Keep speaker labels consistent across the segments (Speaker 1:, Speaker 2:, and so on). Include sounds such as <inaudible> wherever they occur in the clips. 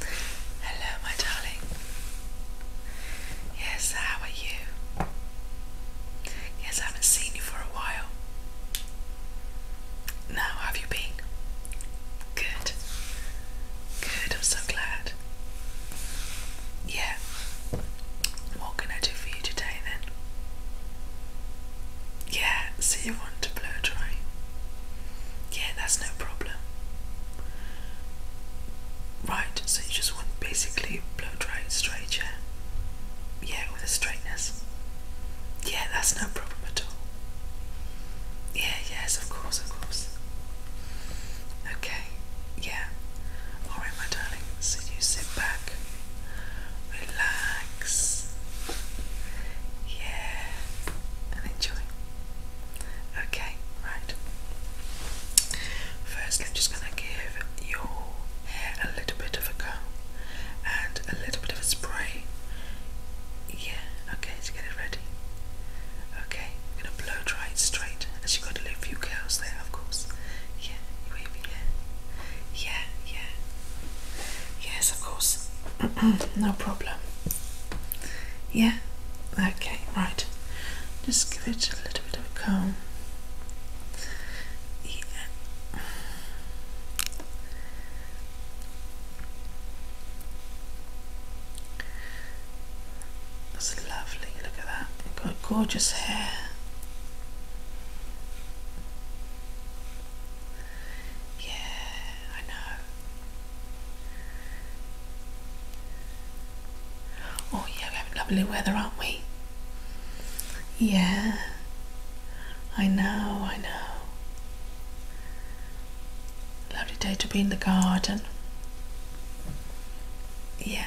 Speaker 1: Hello, my darling. Yes, how are you? Yes, I haven't seen you for a while. Now, have you been? Good. Good, I'm so glad. Yeah. What can I do for you today then? Yeah, so you want to blow dry? Yeah, that's no problem. Right, so you just want basically blow dry straight, yeah? Yeah, with a straightness. Yeah, that's no problem at all. Yeah, yes, of course, of course. Okay, yeah. Alright, my darling, so you sit back, relax. Yeah, and enjoy. Okay, right. First, I'm just going to give your hair a little bit of a comb and a little bit of a spray. Yeah, okay, to get it ready. Okay, I'm going to blow dry it straight. As you've got to leave a few curls there, of course. Yeah, wavy hair. Yeah, yeah. Yes, of course. <clears throat> no problem. Yeah? Okay, right. Just give it a little bit of a comb. Yeah. That's lovely, look at that. You've got gorgeous hair. Yeah, I know. Oh, yeah, we're lovely weather, aren't we? Yeah, I know, I know. Lovely day to be in the garden. Yeah.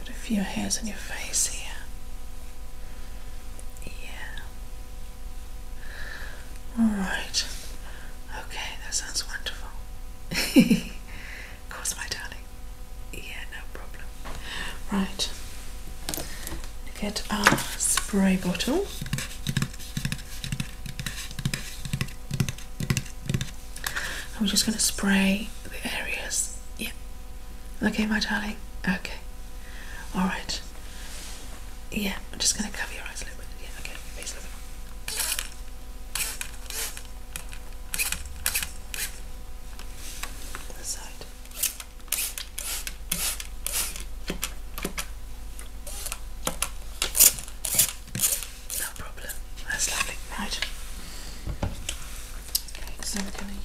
Speaker 1: got a few hairs on your face here. Yeah. Alright. Okay, that sounds wonderful. of <laughs> course, my darling. Yeah, no problem. Right. Get our spray bottle. We're just going to spray the areas. Yeah. Okay, my darling. Okay. All right. Yeah, I'm just going to cover your eyes a little bit. Yeah, okay. Face a little bit. side. No problem. That's lovely. Right. Okay, so we're going to use.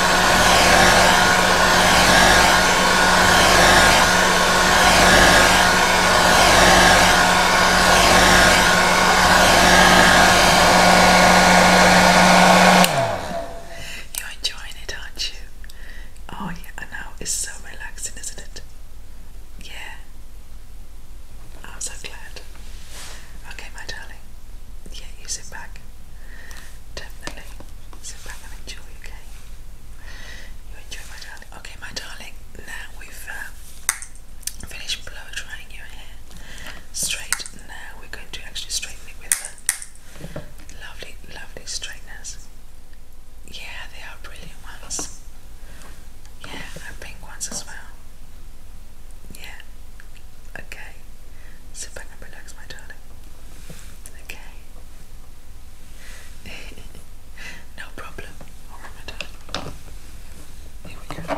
Speaker 1: You're enjoying it, aren't you? Oh, yeah, Now It's so relaxing, isn't it? Yeah. I'm so glad. Okay, my darling. Yeah, you sit back. Definitely. Sit back and enjoy, okay? You enjoy, my darling. Okay, my darling, now we've um, finished blow drying your hair straight. Now we're going to actually straighten it with the lovely, lovely straighteners. Yeah, they are brilliant ones. Yeah, and pink ones as well. Yeah, Okay. Sit back and relax, my darling. Okay. <laughs> no problem. my darling. Here we go.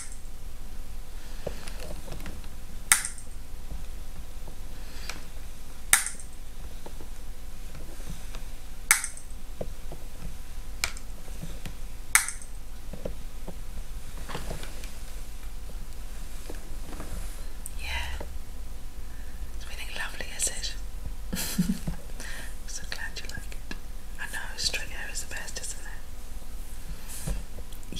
Speaker 1: Yeah, it's really lovely, is it? I'm <laughs> so glad you like it. I know straight hair is the best, isn't it?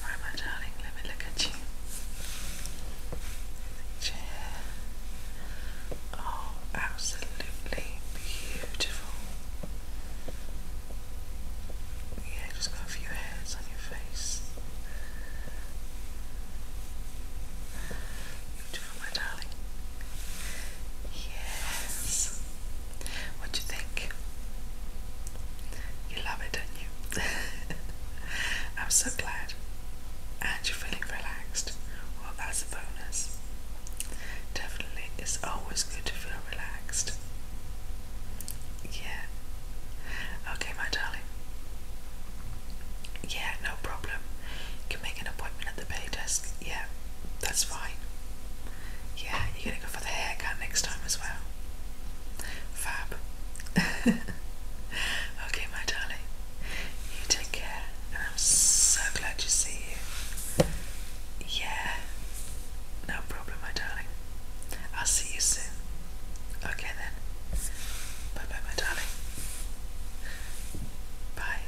Speaker 1: Alright my darling, let me look at you. Chair. Oh, absolutely beautiful. Yeah, just got a few hairs on your face. Beautiful, my darling. Yes. What do you think? You love it, don't you? <laughs> I'm so glad. And you're feeling relaxed. Well, that's a bonus. Definitely, it's always good to feel relaxed. Yeah. Okay, my darling. Yeah, no problem. You can make an appointment at the pay desk. Yeah, that's fine. Yeah, you're gonna go for the haircut next time as well. Fab. <laughs> okay, my darling. You take care, I'm so glad to see you. Yeah, no problem, my darling. I'll see you soon. Okay then. Bye bye, my darling. Bye.